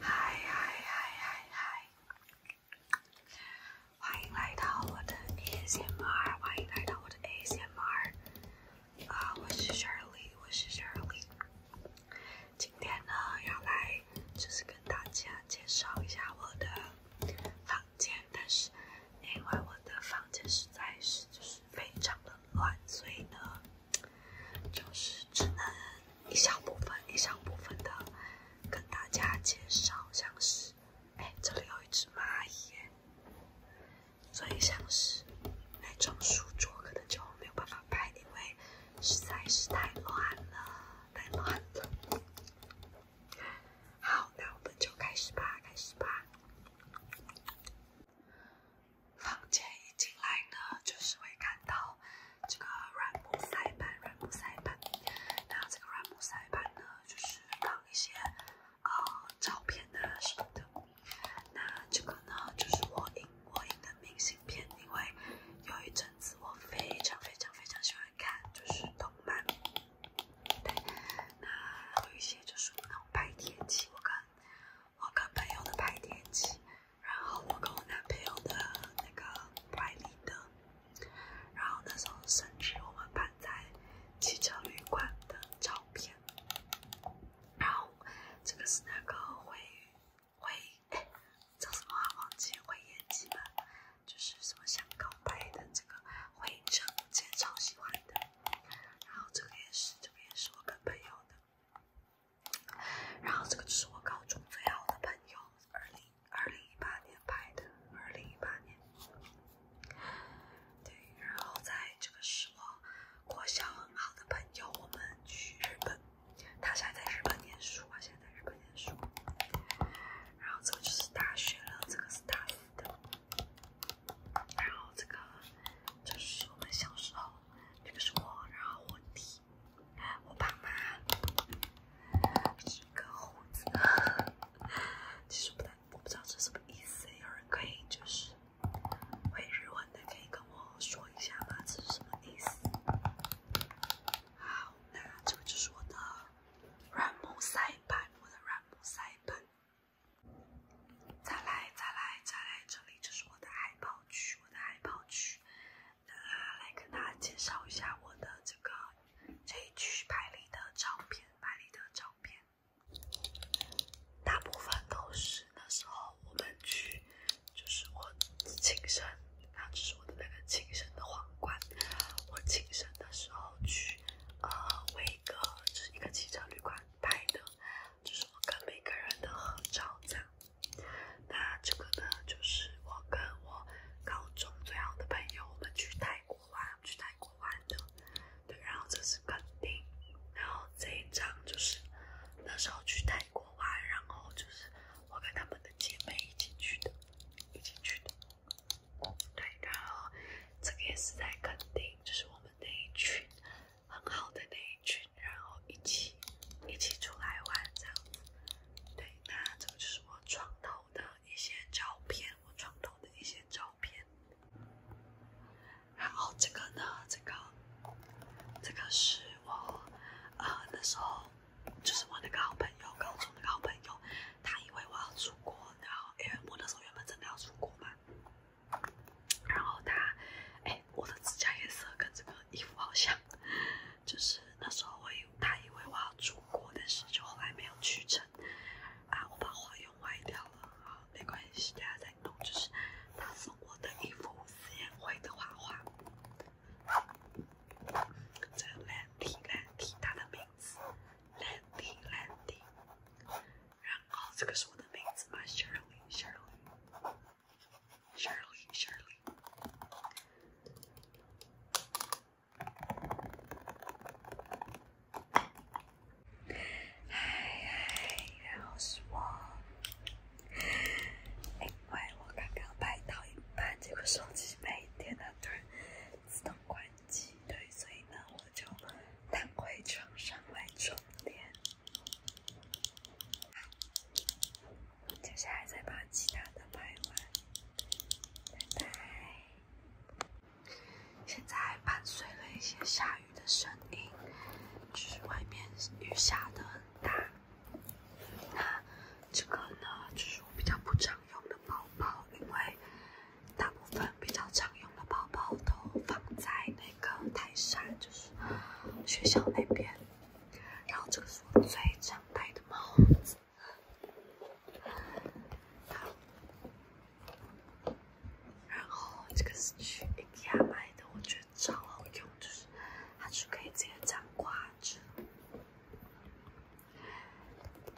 嗨嗨嗨嗨嗨！欢迎来到我的 A C M R，欢迎来到我的 A C M R。今天呢，要来就是跟大家介绍一下我的房间，但是。因为我的房间实在是就是非常的乱，所以呢，就是只能一小部分、一小部分的跟大家介绍，像是哎，这里有一只蚂蚁，所以像是那种书桌可能就没有办法拍，因为实在是太乱了，太乱了。好，那我们就开始吧，开始吧。房间一进来呢，就是会看到这个软木塞板，软木塞板。那这个软木塞板呢，就是放一些呃照片啊什么的。那这个呢，就是我印我印的明信片，因为有一阵子我非常非常非常喜欢看就是动漫。对，那有一些就是那种拍天气，我跟我跟朋友的拍天气，然后我跟我男朋友的那个拍的，然后那时候甚至我们拍在汽车旅馆的照片，然后这个是那个回回，哎，叫什么啊？忘记会言机吗？就是什么想告白的这个合影照，我其实超喜欢的。然后这个也是，这个也是我跟朋友的。然后这个就是我高中最好的朋友，二零二零一八年拍的，二零一八年。对，然后在这个是我国小很好的朋友，我们去日本，他现在在日本念书，我现在在日本念书。然后这个就是大学了，这个是大一的。然后这个就是我们小时候，这个是我，然后我弟，我爸妈，这个猴子，其实不太，我不知道这是什么意思，有人可以就是会日文的可以跟我说一下吗？这是什么意思？好，那这个就是我的。软木塞板，我的软木塞板。再来，再来，再来，这里就是我的海报区，我的海报区。呃，来跟大家介绍一下我的这个这一区拍立的照片，拍立的照片，大部分都是那时候我们去，就是我亲身。然后这是我的那个晋生的皇冠，我晋生的时候去呃维格就是一个汽车旅馆拍的，就是我跟每个人的合照，这样。那这个呢就是我跟我高中最好的朋友，我们去泰国玩去泰国玩的，对，然后这是肯定，然后这一张就是那时候去泰。过完，然后就是我跟他们的姐妹一起去的，一起去的。对，然后这个也是在垦丁，就是我们那一群很好的那一群，然后一起一起出来玩这样子。对，那这个就是我床头的一些照片，我床头的一些照片。然后这个呢，这个这个是我啊那时候。就是我那个好朋友，高中那个好朋友，他以为我要出国，然后因为我那时候原本真的要出国嘛，然后他，诶，我的指甲颜色跟这个衣服好像，就是那时候我他以为我要出国，但是就后来没有去成，啊，我把画用歪掉了，好没关系，等下再弄，就是他送我的一幅思言绘的画画。这兰迪，兰迪，他的名字，兰迪，兰迪。然后这个我的名字是查理，查理，查理，查理。嗨嗨，然后是我。因为我刚刚拍到一半，结果手机没电了，突然自动关机。对，所以呢，我就躺回床上来充电。接下来再把其他的拍完，拜拜。现在伴随了一些下雨的声音，就是外面雨下的很大。那这个呢，就是我比较不常用的包包，因为大部分比较常用的包包都放在那个台上，就是学校那边。然后这个是我最常戴的帽子，然后这个是去 IKEA 买的，我觉得。超好用，就是它是可以直接这样挂着。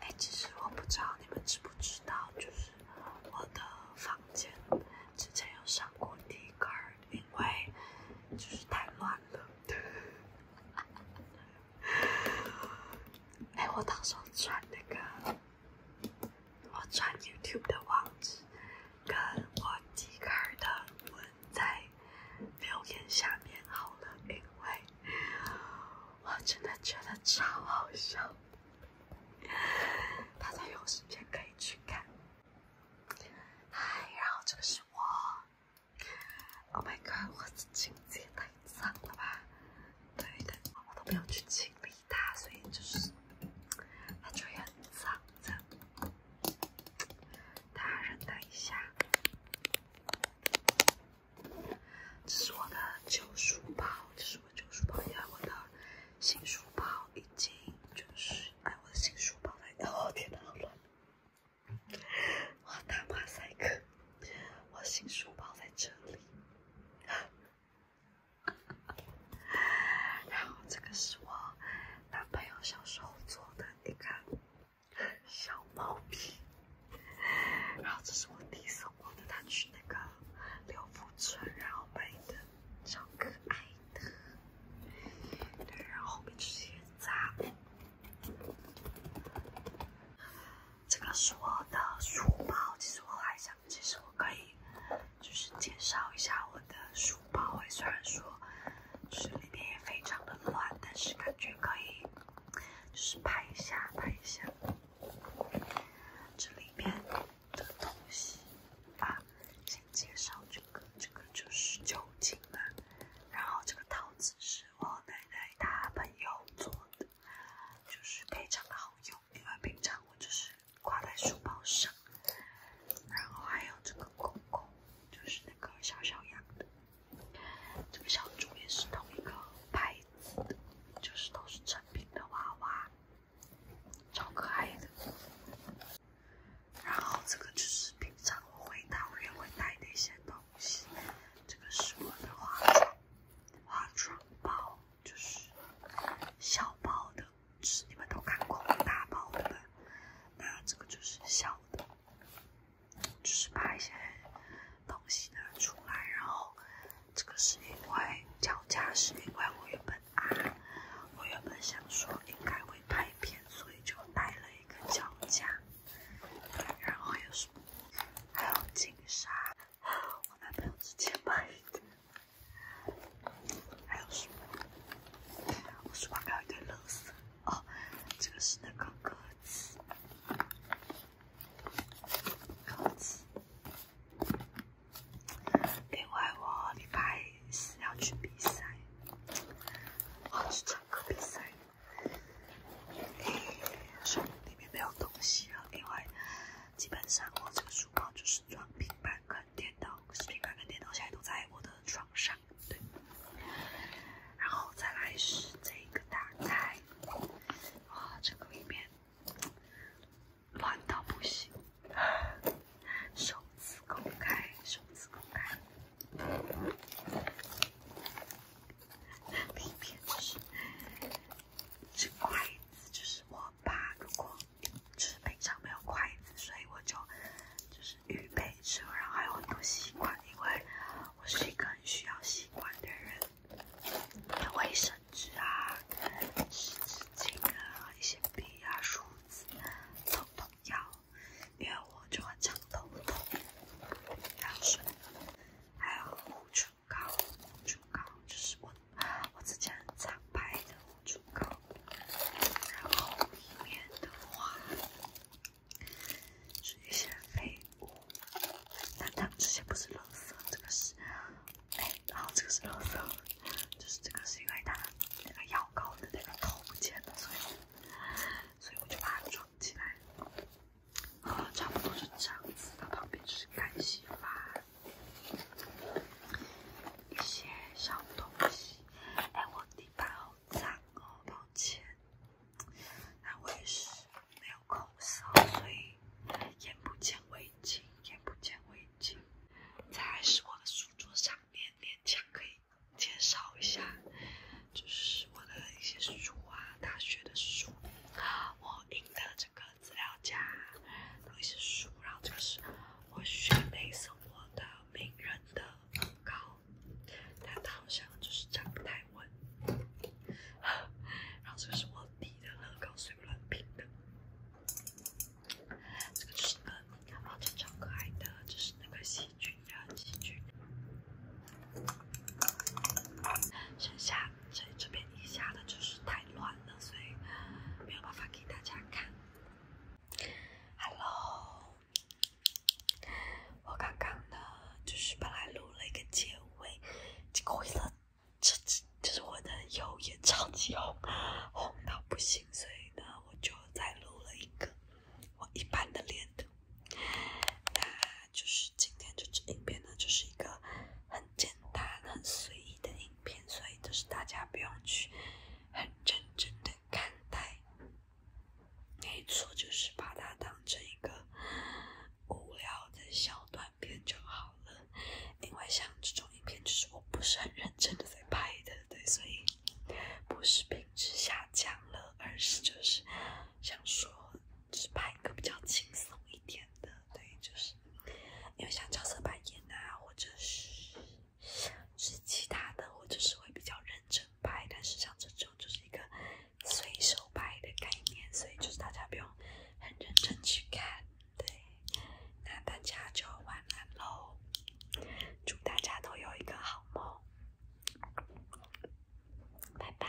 哎，其实我不知道你们知不知道，就是我的房间之前有上过地杆儿，因为就是太乱了。哎，我到时转那个，我转 YouTube 的网址，跟我地杆儿的。在留言下面好了，因为我真的觉得超好笑，大家有时间可以去看。嗨，然后这个是我，Oh my God，我的镜子也太脏了吧？对的，我都没有去清理它，所以就是它就很脏，这样。大人，等一下。这是我的旧书包，这是我旧书包，还有我的新书包，已经就是哎，我的新书包在……哦，天我打马赛克，我新书包在这里。然后这个是我男朋友小时候做的一个小毛笔，然后这是我弟送我的，他去那个刘福村然后买的，超可爱的。对，然后后面直接砸。这个是我的书包，其实我还想，其实我可以。就是介绍一下我的书包，哎，虽然说，就是里面也非常的乱，但是感觉可以，就是拍一下，拍一下，这里面的东西。啊，先介绍这个，这个就是酒精嘛。然后这个套子是我奶奶她朋友做的，就是非常的好用，因为平常我就是。挂在书包上，然后还有这个狗狗，就是那个小小羊的，这个小猪也是同一个牌子的，就是都是正品的娃娃，超可爱的。然后这个就是平常我回太也会带的一些东西，这个是我的化妆化妆包，就是小包的。是你们都看过大包的，那这个就是小的，就是把一些东西拿出来，然后这个是因为脚架，是因为我原本啊，我原本想说应该会拍片，所以就带了一个脚架，然后还有什么，还有金沙，我男朋友之前买的。还有书，包里有一堆垃哦。这个是那个歌词，歌词。另外，我礼拜四要去比赛，要去唱歌比赛。所以里面没有东西了，因为基本上我这个书包就是装平板跟。电脑、频，板跟电脑现在都在我的床上，对。然后再来是这个打开，哇，这个里面乱到不行。首次公开，首次公开。里面就是这筷子，就是我爸如果。就是平常没有筷子，所以我就就是预备着，然后还有很多吸管，因为我是一个很需要吸管的人，卫生纸啊、湿纸巾啊、一些笔啊、梳子都都要，因为我就很常头痛，然后是还有护唇。膏乳膏这是我我之前常拍的乳膏，然后里面的话是一些废物，但它之前不是冷色，这个是哎，然后这个是乐色，就是这个是因为它那个药膏的那个头尖的，所以所以我就把它装起来，呃，差不多是这样子的，旁边是干洗粉。一些小东西，哎，我地板好脏哦，抱歉。哎，我也是没有口罩，所以眼不见为净，眼不见为净。再是我的书桌上，勉勉强可以介绍一下，就是我的一些书啊，大学的书，我印的这个。资料夹，有一些书，然后这个是我学妹送我的名人的文但它好像就是不太稳。然后这个是我弟的乐高碎乱拼的，这个就是那个，包这超可爱的，就是那个细菌的细菌。剩下。所以这边一下的就是太乱了，所以没有办法给大家看。Hello，我刚刚呢，就是本来录了一个结尾，结果呢，这这就是我的右眼超级红，红到不行，所以呢，我就再录了一个我一般的脸的。就是今天这支影片呢，就是一个很简单、很随意的影片，所以就是大家不用去很认真的看待。没错，就是把它当成一个无聊的小短片就好了。因为像这种影片，就是我不是很认真的在拍的，对，所以不是品质下降了，而是就是想说，是拍一个比较轻松一点。的对，就是因为像角色扮演啊，或者是是其他的，或者是会比较认真拍，但是像这种就是一个随手拍的概念，所以就是大家不用很认真去看，对，那大家就晚安喽，祝大家都有一个好梦，拜拜。